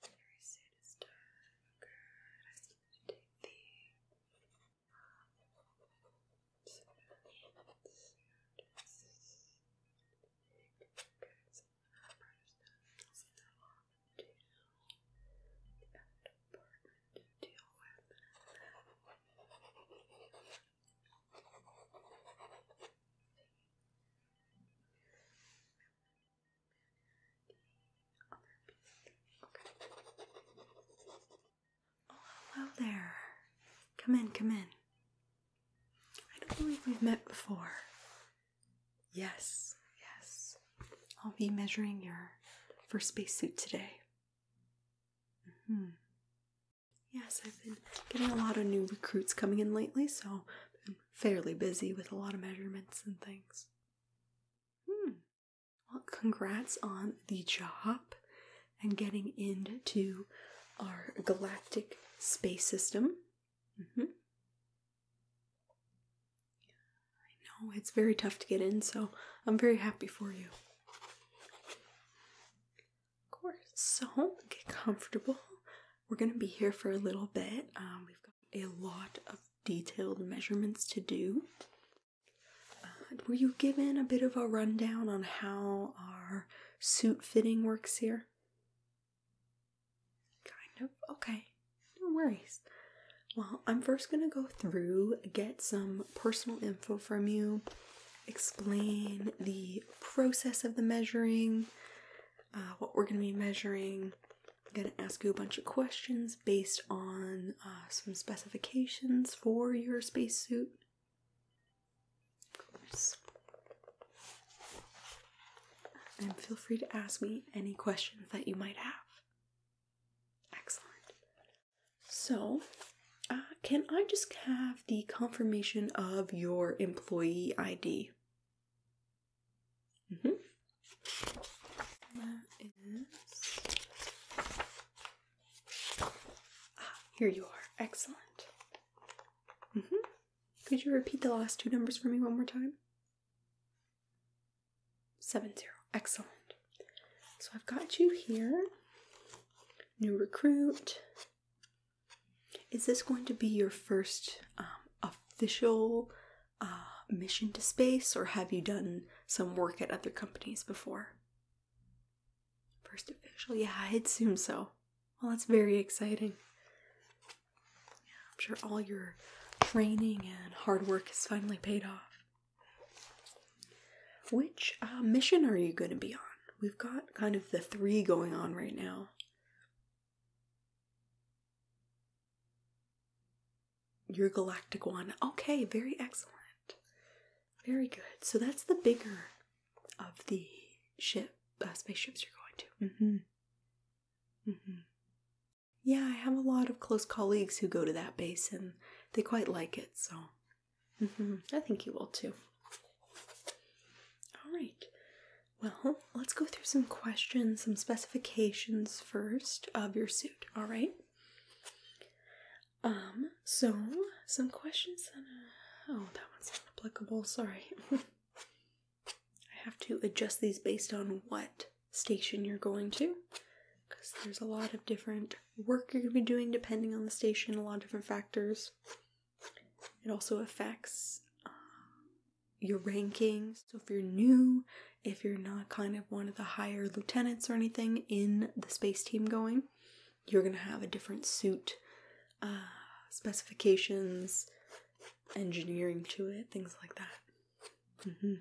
Very soon it's done. Good. I just the so Apartment to deal with, Oh, hello there. Come in, come in. I don't believe we've met before. Yes, yes. I'll be measuring your first spacesuit today. hmm Yes, I've been getting a lot of new recruits coming in lately, so fairly busy with a lot of measurements and things. Hmm. Well, congrats on the job and getting into our galactic space system. Mm-hmm. I know it's very tough to get in, so I'm very happy for you. Of course. So get comfortable we're going to be here for a little bit. Um, we've got a lot of detailed measurements to do. Uh, were you given a bit of a rundown on how our suit fitting works here? Kind of. Okay. No worries. Well, I'm first going to go through, get some personal info from you, explain the process of the measuring, uh, what we're going to be measuring. I'm going to ask you a bunch of questions based on uh, some specifications for your spacesuit. Of And feel free to ask me any questions that you might have. Excellent. So, uh, can I just have the confirmation of your employee ID? Mm-hmm. Ah, here you are. Excellent. Mm-hmm. Could you repeat the last two numbers for me one more time? Seven zero. Excellent. So I've got you here. New recruit. Is this going to be your first um, official uh, mission to space, or have you done some work at other companies before? First official, yeah, I'd assume so. Well, that's very exciting. Yeah, I'm sure all your training and hard work is finally paid off. Which uh, mission are you going to be on? We've got kind of the three going on right now. Your galactic one. Okay, very excellent. Very good. So that's the bigger of the ship, uh, spaceships you're going to. Mm-hmm. Mm-hmm. Yeah, I have a lot of close colleagues who go to that base and they quite like it, so mm-hmm. I think you will too. All right. Well, let's go through some questions, some specifications first of your suit, all right? Um, so some questions that, uh, oh, that one's not applicable, sorry. I have to adjust these based on what station you're going to because there's a lot of different work you're going to be doing depending on the station, a lot of different factors. It also affects uh, your rankings. So if you're new, if you're not kind of one of the higher lieutenants or anything in the space team going, you're gonna have a different suit, uh, specifications, engineering to it, things like that. Mm-hmm.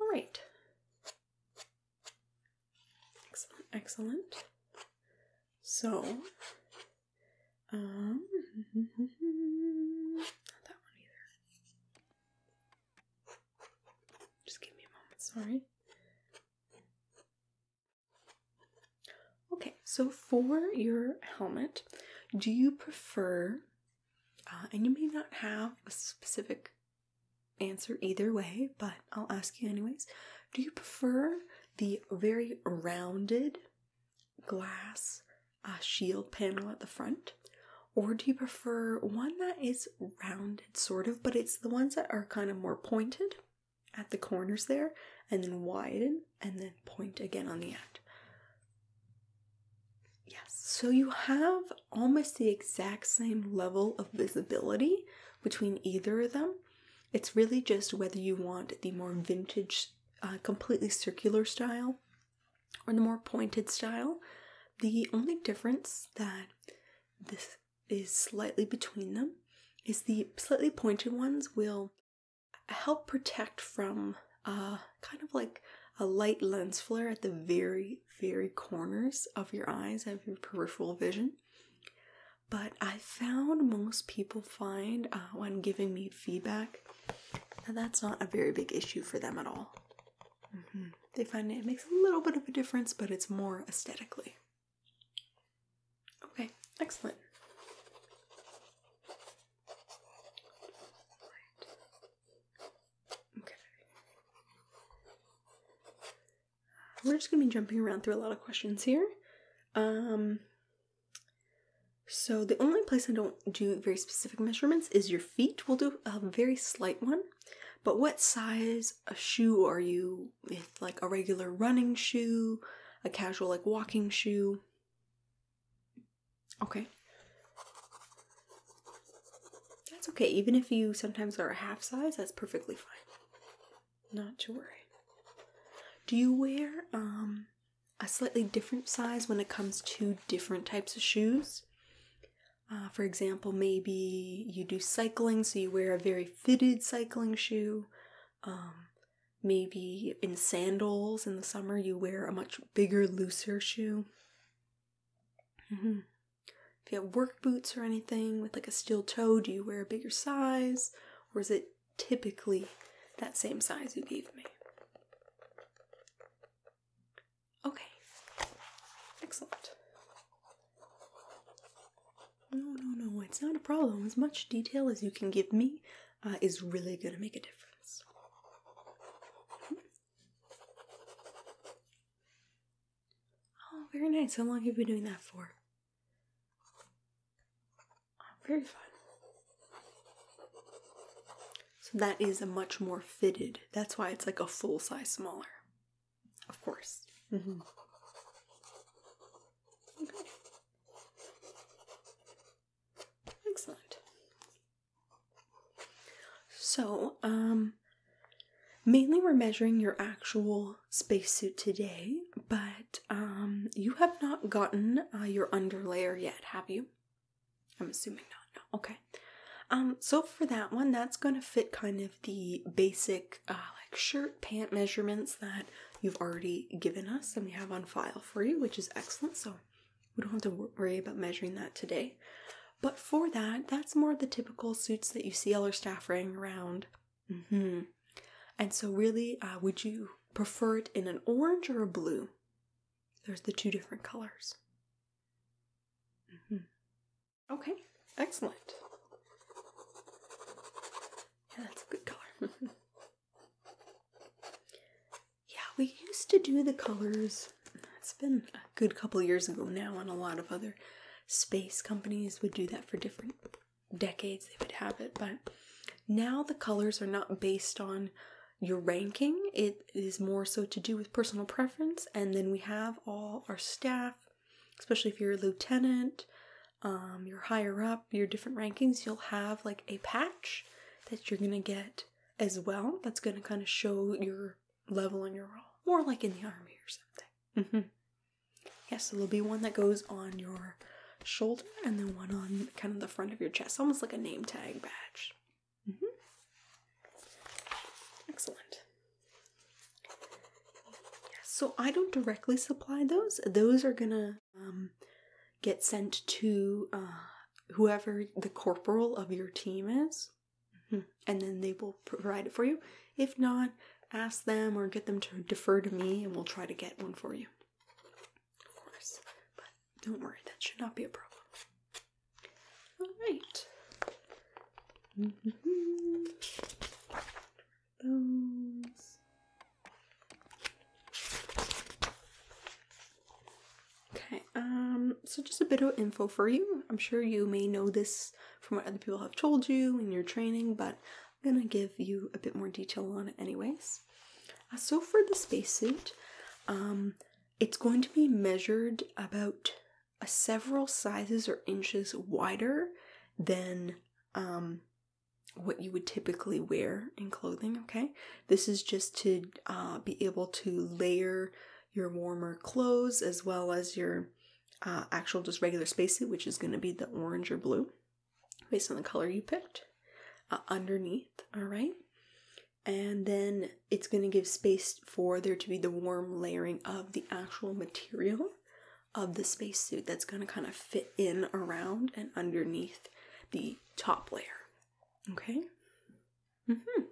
All right. Excellent, excellent. So um, not that one either. Just give me a moment, sorry. Okay, so for your helmet, do you prefer, uh, and you may not have a specific answer either way, but I'll ask you anyways. Do you prefer the very rounded glass a shield panel at the front? Or do you prefer one that is rounded, sort of, but it's the ones that are kind of more pointed at the corners there, and then widen, and then point again on the end? Yes, so you have almost the exact same level of visibility between either of them. It's really just whether you want the more vintage uh, completely circular style or the more pointed style. The only difference that this is slightly between them is the slightly pointed ones will help protect from uh, kind of like a light lens flare at the very, very corners of your eyes, and your peripheral vision. But I found most people find uh, when giving me feedback that's not a very big issue for them at all. Mm-hmm. They find it makes a little bit of a difference, but it's more aesthetically. Okay, excellent. Okay. We're just gonna be jumping around through a lot of questions here. Um, so the only place I don't do very specific measurements is your feet. We'll do a very slight one. But what size a shoe are you like a regular running shoe, a casual like walking shoe? Okay. That's okay. Even if you sometimes are a half size, that's perfectly fine. Not to worry. Do you wear um a slightly different size when it comes to different types of shoes. Uh, for example, maybe you do cycling, so you wear a very fitted cycling shoe. Um, maybe in sandals in the summer, you wear a much bigger, looser shoe. Mm-hmm. If you have work boots or anything with like a steel toe, do you wear a bigger size? Or is it typically that same size you gave me. Okay. Excellent. No, no, no, it's not a problem. As much detail as you can give me uh, is really going to make a difference. Oh, very nice. How long have you been doing that for? very fine. So that is a much more fitted. That's why it's like a full size smaller. Of course. Mm-hmm. Okay. Excellent. So, um, mainly we're measuring your actual spacesuit today, but um, you have not gotten uh, your underlayer yet, have you? I'm assuming not. No. Okay. Um, so for that one, that's going to fit kind of the basic uh, like shirt pant measurements that you've already given us and we have on file for you, which is excellent. So we don't have to worry about measuring that today. But for that, that's more the typical suits that you see all our staff wearing around. Mm-hmm. And so, really, uh, would you prefer it in an orange or a blue? There's the two different colors. Mm -hmm. Okay, excellent. Yeah, that's a good color. yeah, we used to do the colors. It's been a good couple years ago now, and a lot of other space companies would do that for different decades. They would have it, but now the colors are not based on your ranking. It is more so to do with personal preference. And then we have all our staff, especially if you're a lieutenant, um, you're higher up, your different rankings, you'll have like a patch that you're gonna get as well. That's gonna kind of show your level and your role, more like in the army or something. Mm-hmm. Yes, there'll be one that goes on your shoulder and then one on kind of the front of your chest, almost like a name tag badge. Mm -hmm. Excellent. so I don't directly supply those. Those are gonna um, get sent to uh, whoever the corporal of your team is, mm-hmm. and then they will provide it for you. If not, ask them or get them to defer to me, and we'll try to get one for you of course. But don't worry, that should not be a problem. Alright. Mm-hmm. Those. Okay, um, so just a bit of info for you. I'm sure you may know this from what other people have told you in your training, but I'm gonna give you a bit more detail on it anyways. Uh, so for the spacesuit, um, it's going to be measured about uh, several sizes or inches wider than um, what you would typically wear in clothing. Okay, this is just to uh, be able to layer your warmer clothes as well as your actual just regular spacesuit, which is going to be the orange or blue based on the color you picked uh, underneath, all right? And then it's going to give space for there to be the warm layering of the actual material of the spacesuit that's going to kind of fit in around and underneath the top layer. Okay? Mm hmm.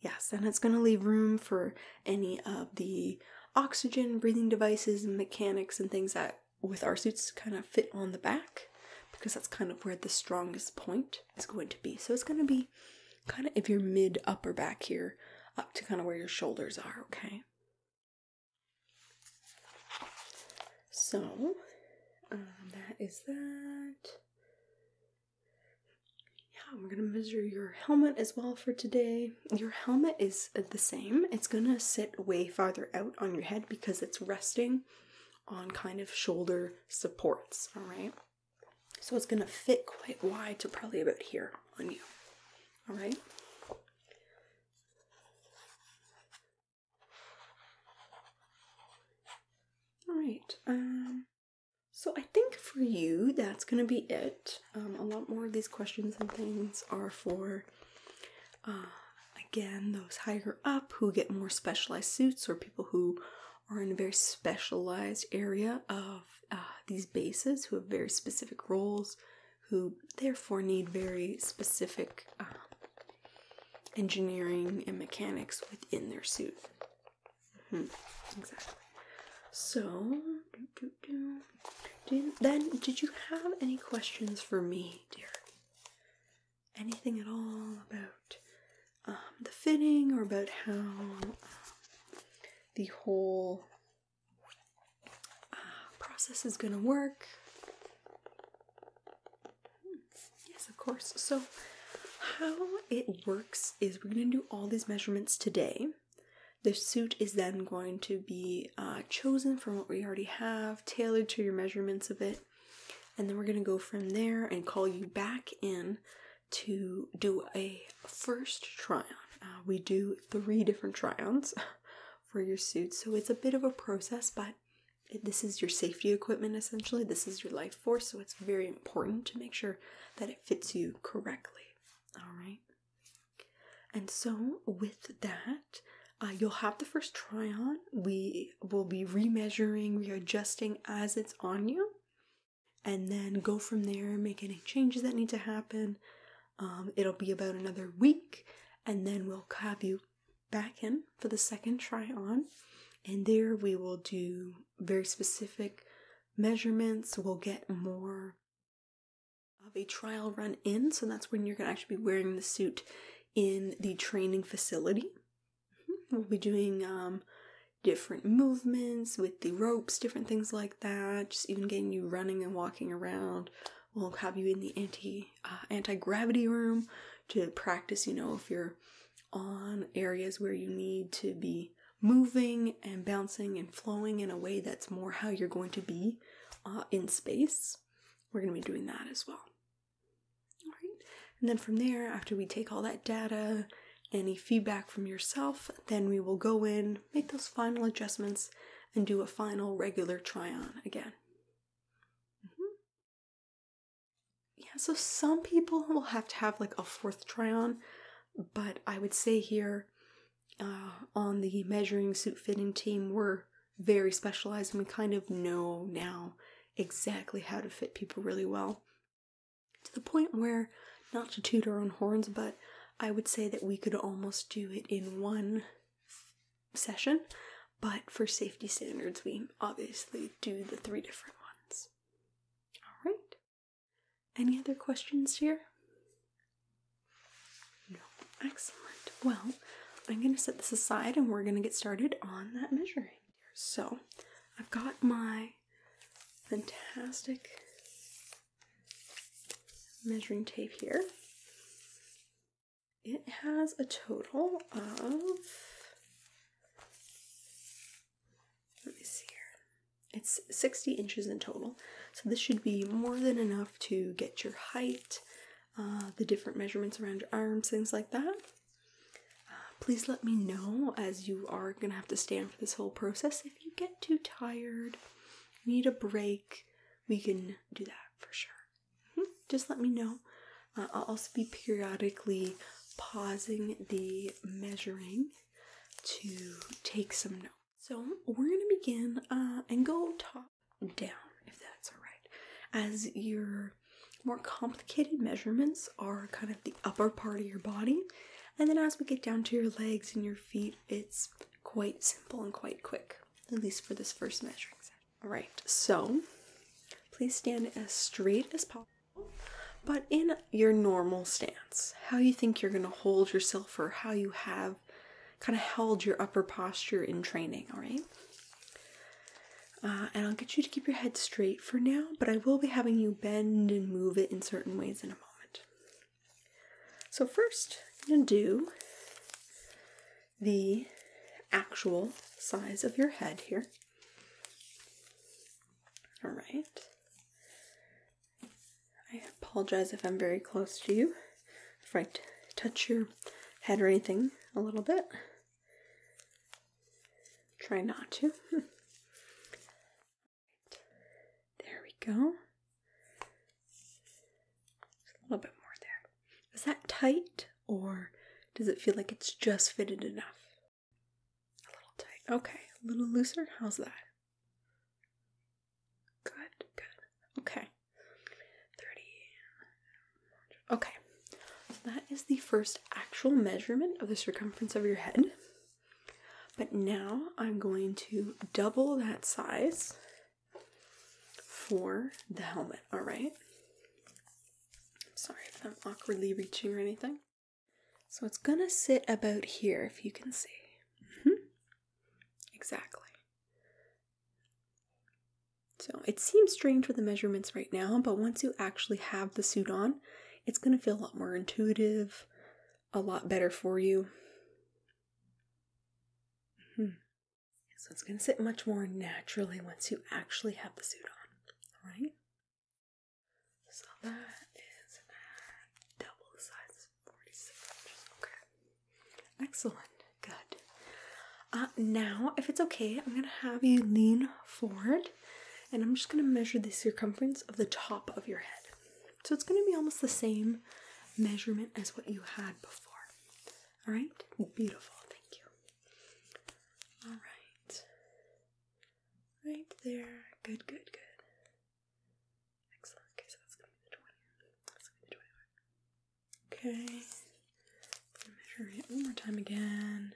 Yes, and it's going to leave room for any of the oxygen breathing devices and mechanics and things that with our suits kind of fit on the back because that's kind of where the strongest point is going to be. So it's going to be kind of if you're mid upper back here up to kind of where your shoulders are, okay? So um, that is that. Yeah, we're going to measure your helmet as well for today. Your helmet is the same. It's going to sit way farther out on your head because it's resting on kind of shoulder supports, all right? So it's gonna fit quite wide to probably about here on you, all right? All right, um, so I think for you, that's gonna be it. Um, a lot more of these questions and things are for uh, again, those higher up who get more specialized suits or people who are in a very specialized area of uh, these bases who have very specific roles, who therefore need very specific um, engineering and mechanics within their suit. Mm-hmm. Exactly. So, then, did you have any questions for me, dear? anything at all about um, the fitting or about how um, the whole uh, process is going to work. Hmm, yes, of course. So, how it works is we're going to do all these measurements today. The suit is then going to be uh, chosen from what we already have, tailored to your measurements of it, and then we're going to go from there and call you back in to do a first try on. Uh, we do three different try ons for your suits, so it's a bit of a process, but this is your safety equipment essentially. This is your life force, so it's very important to make sure that it fits you correctly. All right. And so, with that, uh, you'll have the first try on. We will be remeasuring, readjusting as it's on you, and then go from there, make any changes that need to happen. Um, it'll be about another week, and then we'll have you back in for the second try on. And there we will do very specific measurements. We'll get more of a trial run in. So that's when you're going to actually be wearing the suit in the training facility. We'll be doing um, different movements with the ropes, different things like that. Just even getting you running and walking around. We'll have you in the anti uh, anti gravity room to practice. You know, if you're on areas where you need to be moving and bouncing and flowing in a way that's more how you're going to be uh, in space. We're going to be doing that as well. All right. And then from there, after we take all that data, any feedback from yourself, then we will go in, make those final adjustments, and do a final regular try on again. Mm-hmm. Yeah, so some people will have to have like a fourth try on, but I would say here uh, on the measuring suit fitting team, we're very specialized and we kind of know now exactly how to fit people really well. To the point where, not to toot our own horns, but I would say that we could almost do it in one session, but for safety standards, we obviously do the three different ones. All right. Any other questions here? No. Excellent. Well, I'm going to set this aside and we're going to get started on that measuring. So I've got my fantastic measuring tape here. It has a total of, let me see here, it's 60 inches in total. So this should be more than enough to get your height, uh, the different measurements around your arms, things like that. Uh, please let me know as you are going to have to stand for this whole process. If you get too tired, need a break, we can do that for sure. Mm-hmm. Just let me know. Uh, I'll also be periodically pausing the measuring to take some notes. So we're going to begin uh, and go top down, if that's all right, as you're more complicated measurements are kind of the upper part of your body. And then as we get down to your legs and your feet, it's quite simple and quite quick, at least for this first measuring set. All right, so please stand as straight as possible, but in your normal stance, how you think you're gonna hold yourself or how you have kind of held your upper posture in training, all right? Uh, and I'll get you to keep your head straight for now, but I will be having you bend and move it in certain ways in a moment. So, first, I'm going to do the actual size of your head here. All right. I apologize if I'm very close to you, if I touch your head or anything a little bit. Try not to. There we go. Just a little bit more there. Is that tight or does it feel like it's just fitted enough? A little tight. Okay, a little looser. How's that? Good, good. Okay. 30, Okay, that is the first actual measurement of the circumference of your head. But now I'm going to double that size for the helmet, alright? Sorry if I'm awkwardly reaching or anything. So it's gonna sit about here if you can see. -hmm. Exactly. So it seems strange with the measurements right now, but once you actually have the suit on, it's going to feel a lot more intuitive, a lot better for you. Hmm. So it's going to sit much more naturally once you actually have the suit on. All right. So that is double size 46 Okay. Excellent. Good. Uh, now, if it's okay, I'm gonna have you lean forward and I'm just gonna measure the circumference of the top of your head. So it's gonna be almost the same measurement as what you had before. All right, beautiful, thank you. All right, right there, good, good, good. Excellent. Okay, so that's gonna be the 20. That's gonna be the 21. Okay, measure it one more time again.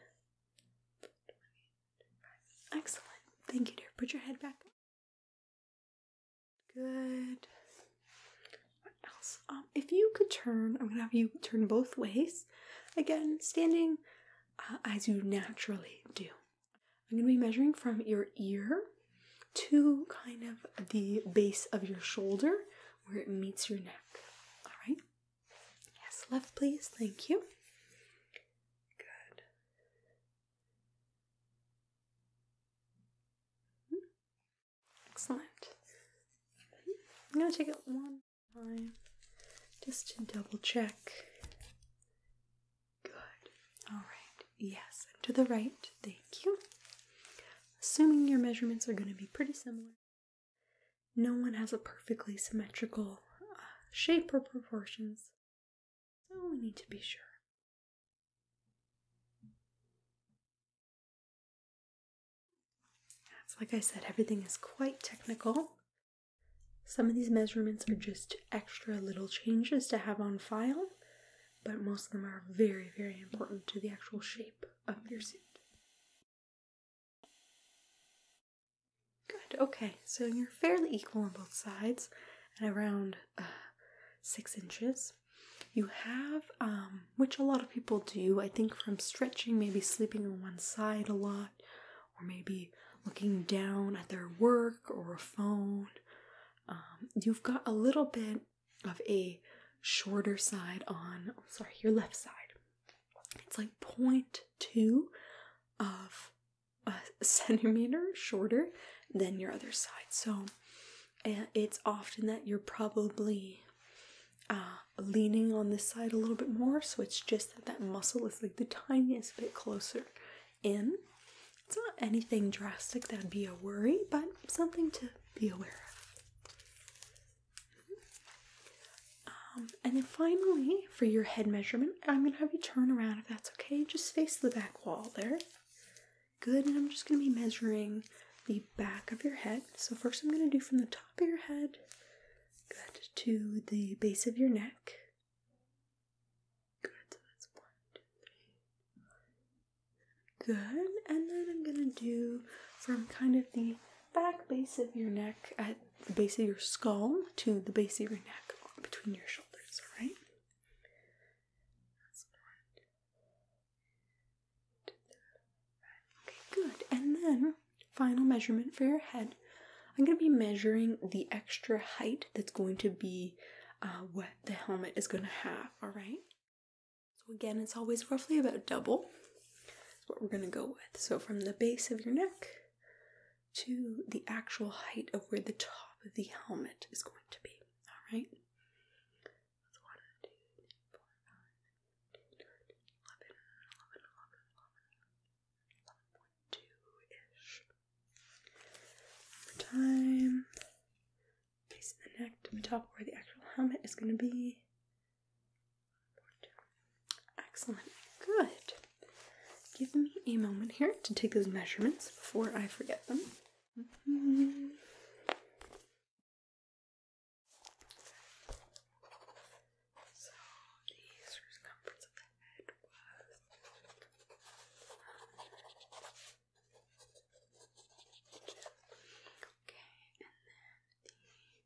Excellent. Thank you, dear. Put your head back. Good. What else? Um, if you could turn, I'm gonna have you turn both ways. Again, standing uh, as you naturally do. I'm gonna be measuring from your ear to kind of the base of your shoulder where it meets your neck. All right. Yes, left, please. Thank you. Good. Excellent. I'm going to take it one time just to double check. Good. All right. Yes, and to the right. Thank you. Assuming your measurements are going to be pretty similar. No one has a perfectly symmetrical uh, shape or proportions, so we need to be sure. That's like I said, everything is quite technical. Some of these measurements are just extra little changes to have on file, but most of them are very, very important to the actual shape of your suit. Good, okay, so you're fairly equal on both sides and around uh, six inches. You have, um, which a lot of people do, I think, from stretching, maybe sleeping on one side a lot, or maybe looking down at their work or a phone. Um, you've got a little bit of a shorter side on, oh, sorry, your left side. It's like 0.2 of a centimeter shorter than your other side. So it's often that you're probably uh, leaning on this side a little bit more. So it's just that that muscle is like the tiniest bit closer in. It's not anything drastic that'd be a worry, but something to be aware of. Um, and then finally, for your head measurement, I'm gonna have you turn around if that's okay. Just face the back wall there. Good, and I'm just gonna be measuring the back of your head. So first, I'm gonna do from the top of your head, good, to the base of your neck. Good. So that's one, two, three. Good, and then I'm gonna do from kind of the back base of your neck at the base of your skull to the base of your neck between your shoulders, alright? Okay, good. And then final measurement for your head. I'm going to be measuring the extra height that's going to be uh, what the helmet is going to have, alright? So, again, it's always roughly about double what we're going to go with. So from the base of your neck to the actual height of where the top of the helmet is going to be. All right. That's eleven, eleven, eleven, eleven, eleven point two-ish. time. Base of the neck to the top where the actual helmet is going to be. Excellent. Good. Give me a moment here to take those measurements before I forget them. Mm-hmm.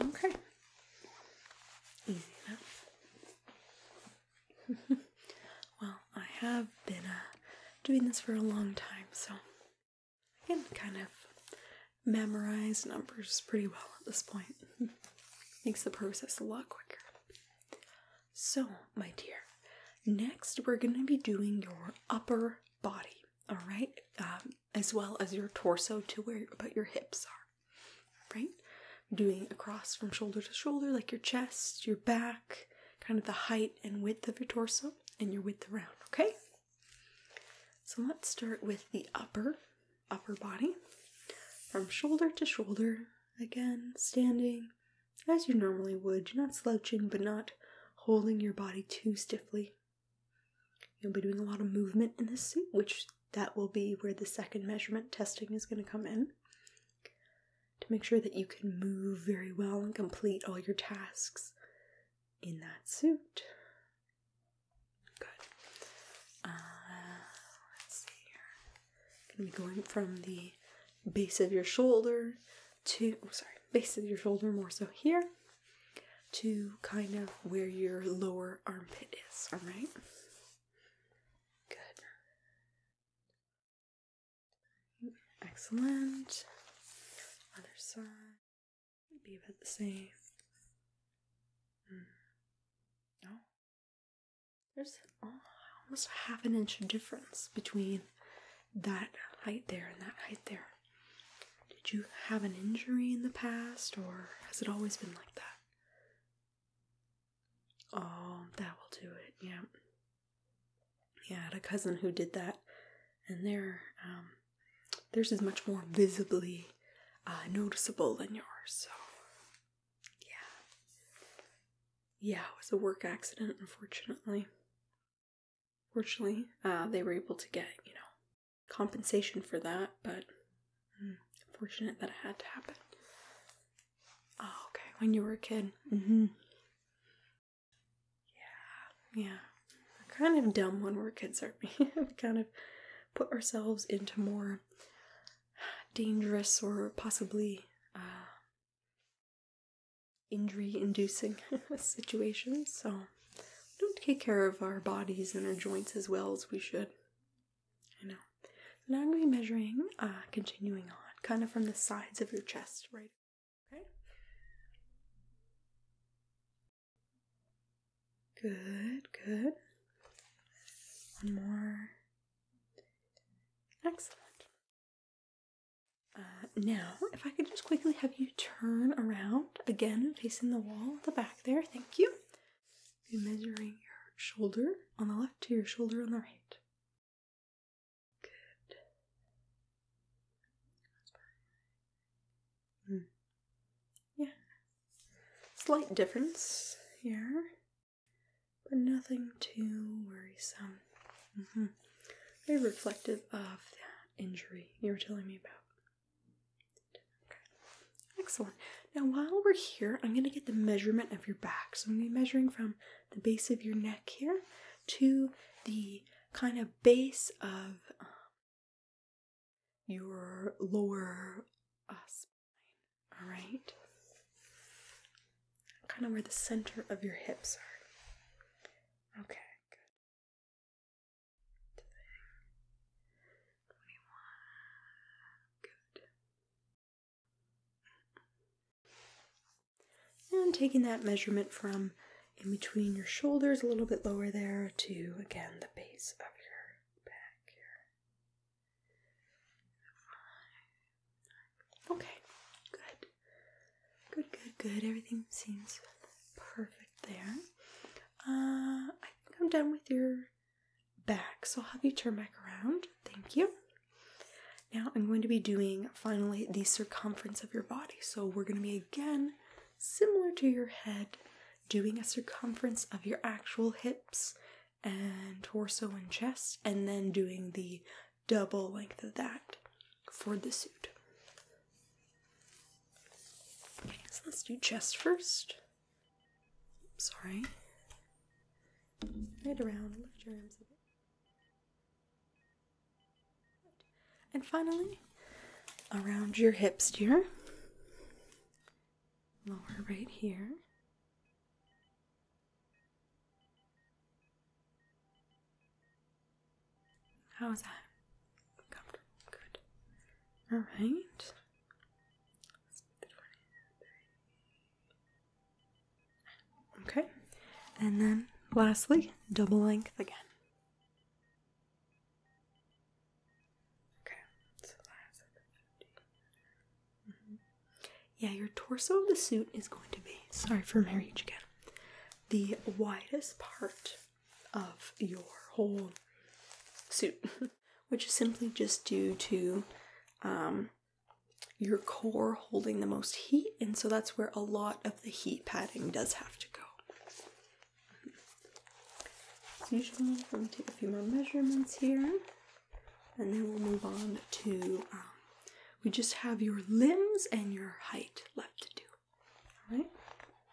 Okay. Easy enough. well, I have been uh, doing this for a long time, so I can kind of memorize numbers pretty well at this point. Makes the process a lot quicker. So, my dear, next we're going to be doing your upper body all right, um, as well as your torso to where about your hips are, right? Doing across from shoulder to shoulder, like your chest, your back, kind of the height and width of your torso, and your width around. Okay. So let's start with the upper upper body, from shoulder to shoulder. Again, standing as you normally would. you not slouching, but not holding your body too stiffly. You'll be doing a lot of movement in this suit, which that will be where the second measurement testing is going to come in to make sure that you can move very well and complete all your tasks in that suit. Good. Uh, let's see here. going going from the base of your shoulder to, oh, sorry, base of your shoulder more so here to kind of where your lower armpit is, alright? Good. Excellent. Other side. Be about the same. No. Hmm. Oh. There's almost half an inch difference between that height there and that height there. Did you have an injury in the past, or has it always been like that? Oh, that will do it, yeah. Yeah, I had a cousin who did that, and their, um, theirs is much more visibly uh, noticeable than yours, so yeah. Yeah, it was a work accident, unfortunately. Fortunately, uh, they were able to get, you know, compensation for that, but fortunate that it had to happen. Oh, okay. When you were a kid. Mm-hmm. Yeah. Yeah. kind of dumb when we're kids, aren't we? we kind of put ourselves into more dangerous or possibly uh, injury inducing situations. So don't take care of our bodies and our joints as well as we should. I know. now I'm going to be measuring, uh, continuing on, kind of from the sides of your chest, right? Okay. Good, good. One more. Excellent. Uh, now, if I could just quickly have you turn around again, facing the wall at the back there, thank you. measuring your shoulder on the left to your shoulder on the right. Good. Hmm. Yeah. Slight difference here, but nothing too worrisome. Very mm-hmm. reflective of that injury you were telling me about. Excellent. Now, while we're here, I'm going to get the measurement of your back. So I'm going to be measuring from the base of your neck here to the kind of base of um, your lower uh, spine. All right. Kind of where the center of your hips are. Okay, and taking that measurement from in between your shoulders, a little bit lower there, to again the base of your back here. Okay, good. Good, good, good. Everything seems perfect there. Uh, I think I'm done with your back, so I'll have you turn back around. Thank you. Now I'm going to be doing finally the circumference of your body. So we're going to be again similar to your head, doing a circumference of your actual hips and torso and chest, and then doing the double length of that for the suit. So let's do chest first. Sorry. Right around, your arms And finally, around your hips, dear. Lower right here. How was that? Comfortable. Good. All right. Okay. And then lastly, double length again. Mm-hmm. Yeah, your torso of the suit is going to be, sorry for marriage again, the widest part of your whole suit, which is simply just due to um, your core holding the most heat, and so that's where a lot of the heat padding does have to go. Usually, usual, I'm going to take a few more measurements here, and then we'll move on to. Um, we just have your limbs and your height left to do. All right.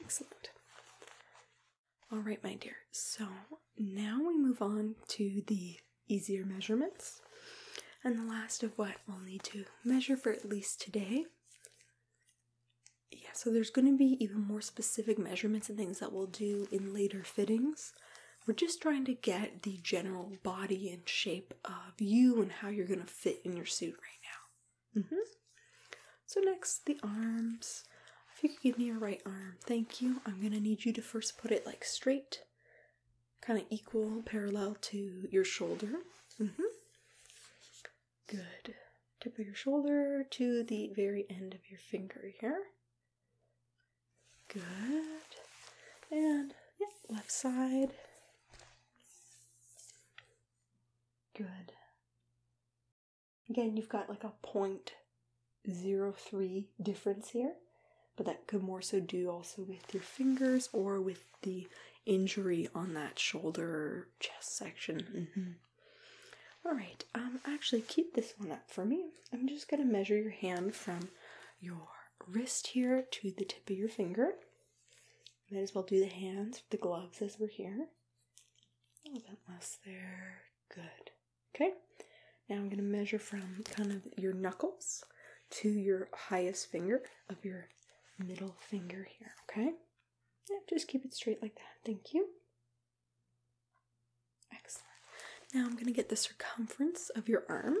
Excellent. All right, my dear. So now we move on to the easier measurements. And the last of what we'll need to measure for at least today. Yeah, so there's going to be even more specific measurements and things that we'll do in later fittings. We're just trying to get the general body and shape of you and how you're going to fit in your suit right now. Mm-hmm. So, next, the arms. If you could give me your right arm, thank you. I'm going to need you to first put it like straight, kind of equal, parallel to your shoulder. Mm-hmm. Good. Tip of your shoulder to the very end of your finger here. Good. And yeah, left side. Good. Again, you've got like a point zero three difference here, but that could more so do also with your fingers or with the injury on that shoulder chest section. Mm-hmm. right, um, actually keep this one up for me. I'm just gonna measure your hand from your wrist here to the tip of your finger. Might as well do the hands with the gloves as we're here. A little bit less there. Good. Okay. Now I'm going to measure from kind of your knuckles to your highest finger of your middle finger here. Okay. Yeah, just keep it straight like that. Thank you. Excellent. Now I'm going to get the circumference of your arm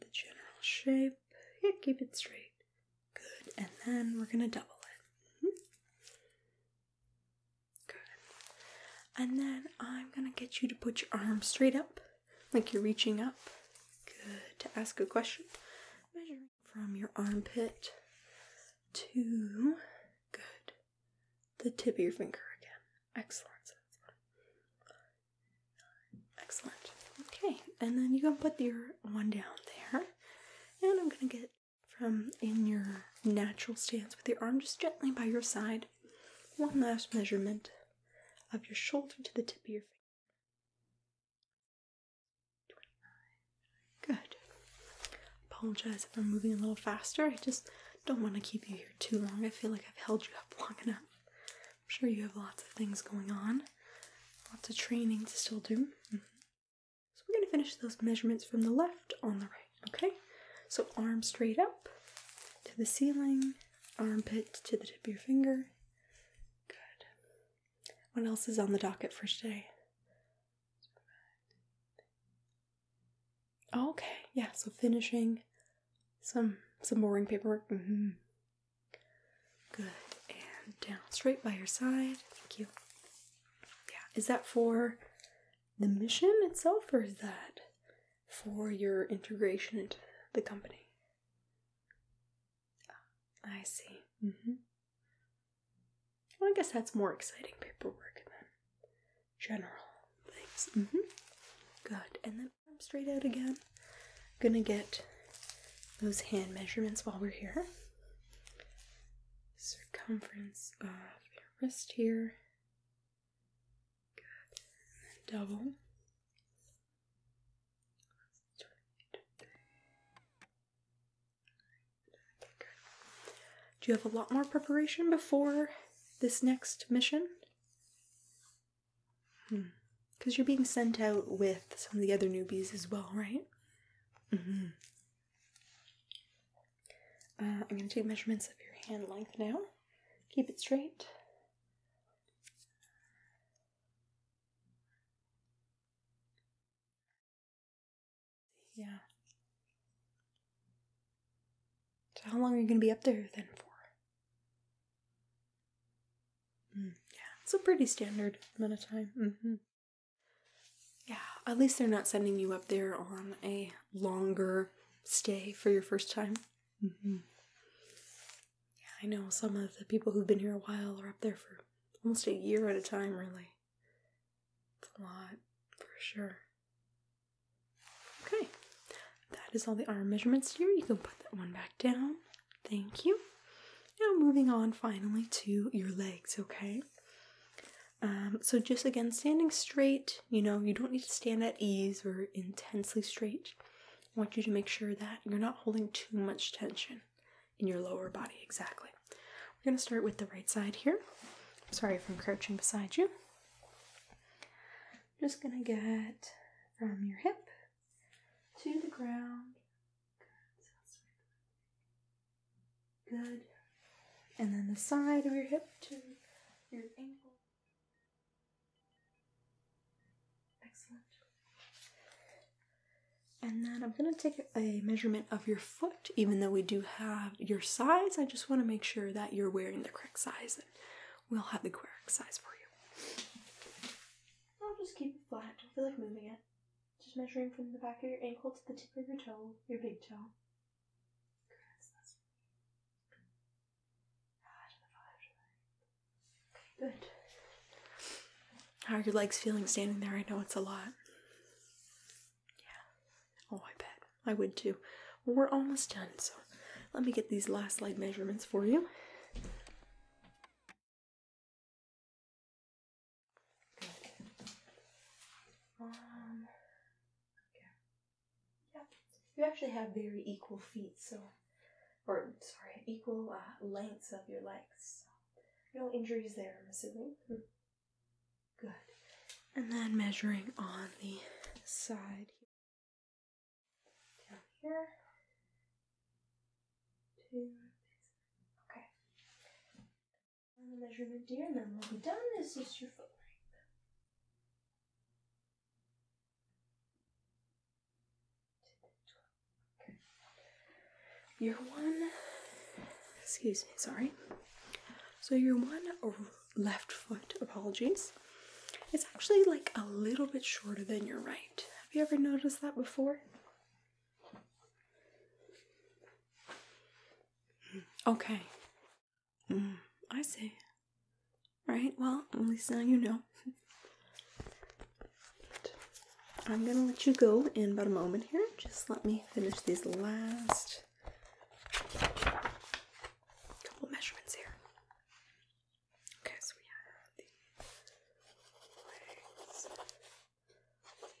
the general shape. Yeah, keep it straight. Good, and then we're gonna double it. Mm-hmm. Good. And then I'm gonna get you to put your arm straight up, like you're reaching up. Good, to ask a question. Measuring from your armpit to, good, the tip of your finger again. Excellent. Excellent. Okay, and then you can put your one down there. And I'm gonna get from in your natural stance with your arm just gently by your side. One last measurement of your shoulder to the tip of your finger. 29. Good. Apologize if I'm moving a little faster. I just don't want to keep you here too long. I feel like I've held you up long enough. I'm sure you have lots of things going on, lots of training to still do. Mm-hmm. So we're going to finish those measurements from the left on the right, okay? So arm straight up to the ceiling, armpit to the tip of your finger. Good. What else is on the docket for today? Okay, yeah, so finishing some some boring paperwork. Mm-hmm. Good and down straight by your side. Thank you. Yeah, is that for the mission itself, or is that for your integration into the company? Ah, I see. Mm -hmm. Well, I guess that's more exciting paperwork than general things. Mm -hmm. Good. And then then arm straight out again. I'm gonna get those hand measurements while we're here. Circumference of your wrist here. Good. double. Do you have a lot more preparation before this next mission? Because you're being sent out with some of the other newbies as well, right? Mm-hmm. Uh, I'm going to take measurements of your hand length now. Keep it straight. Yeah. So, how long are you going to be up there then for? Mm, yeah, it's a pretty standard amount of time. Mm-hmm. Yeah, at least they're not sending you up there on a longer stay for your first time. Mm-hmm. Yeah, I know some of the people who've been here a while are up there for almost a year at a time, really. It's a lot, for sure. Okay, that is all the arm measurements here. You can put that one back down. Thank you. Now, moving on finally to your legs, okay? Um, so, just again, standing straight, you know, you don't need to stand at ease or intensely straight. I want you to make sure that you're not holding too much tension in your lower body, exactly. We're going to start with the right side here. Sorry if I'm crouching beside you just gonna get from your hip to the ground. Good. And then the side of your hip to your ankle. Excellent. And then I'm going to take a measurement of your foot, even though we do have your size. I just want to make sure that you're wearing the correct size we'll have the queric size for you. I'll just keep it flat. don't feel like moving it. Just measuring from the back of your ankle to the tip of your toe, your big toe. Ah, good. How are your legs feeling standing there? I know it's a lot. Yeah. Oh, I bet. I would too. we're almost done, so let me get these last slide measurements for you. Um, Yeah, you actually have very equal feet, so, or sorry, equal uh, lengths of your legs. no injuries there, I'm assuming. Hmm. Good. And then measuring on the side here down here Two. Okay. And measurement here, and then we'll be done. This is your foot length. Okay. Your one, excuse me, sorry. So your one left foot, apologies, it's actually like a little bit shorter than your right. Have you ever noticed that before? Okay. Mm, I see. Right, well, at least now you know. I'm gonna let you go in about a moment here. Just let me finish these last couple measurements here. Okay, so we have the legs, the right leg. The left leg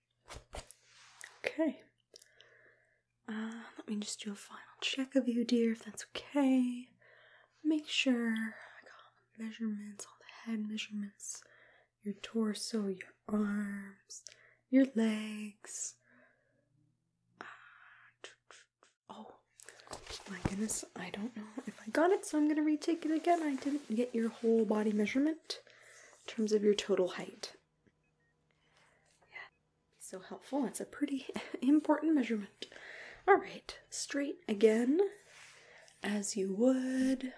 Okay. Uh, let me just do a final check of you, dear, if that's okay. Make sure I got measurements, all the head measurements, your torso, your arms, your legs. Uh, oh my goodness, I don't know if I got it, so I'm gonna retake it again. I didn't get your whole body measurement in terms of your total height. Yeah, be so helpful. That's a pretty important measurement. All right, straight again, as you would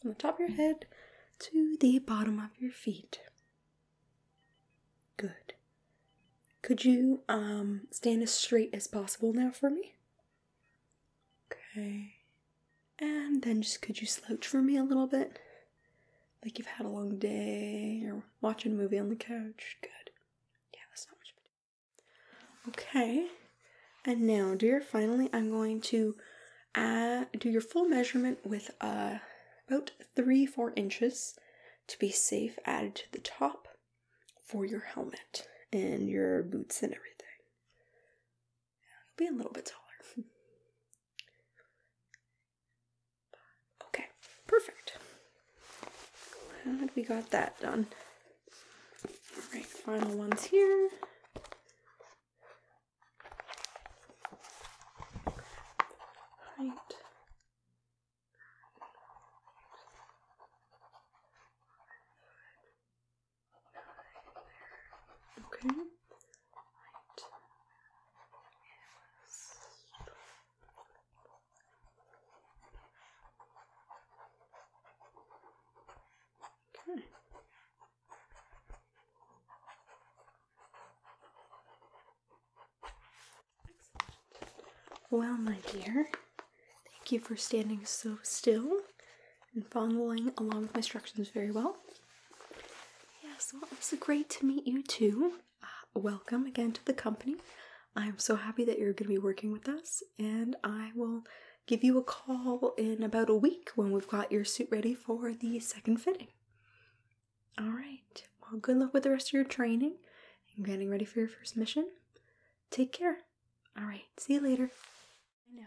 from the top of your head to the bottom of your feet. Good. Could you um, stand as straight as possible now for me? Okay. And then just could you slouch for me a little bit? Like you've had a long day or watching a movie on the couch. Good. Yeah, that's not much Okay. And now, dear, finally, I'm going to add, do your full measurement with uh, about three, four inches to be safe added to the top for your helmet and your boots and everything. you'll be a little bit taller. Okay, perfect. Glad we got that done. All right, final ones here. Right. Okay. Well, my dear, thank you for standing so still and following along with my instructions very well. Yes, well, was great to meet you too. Uh, welcome again to the company. I'm so happy that you're going to be working with us, and I will give you a call in about a week when we've got your suit ready for the second fitting. All right. Well, good luck with the rest of your training and getting ready for your first mission. Take care. All right. See you later. I know.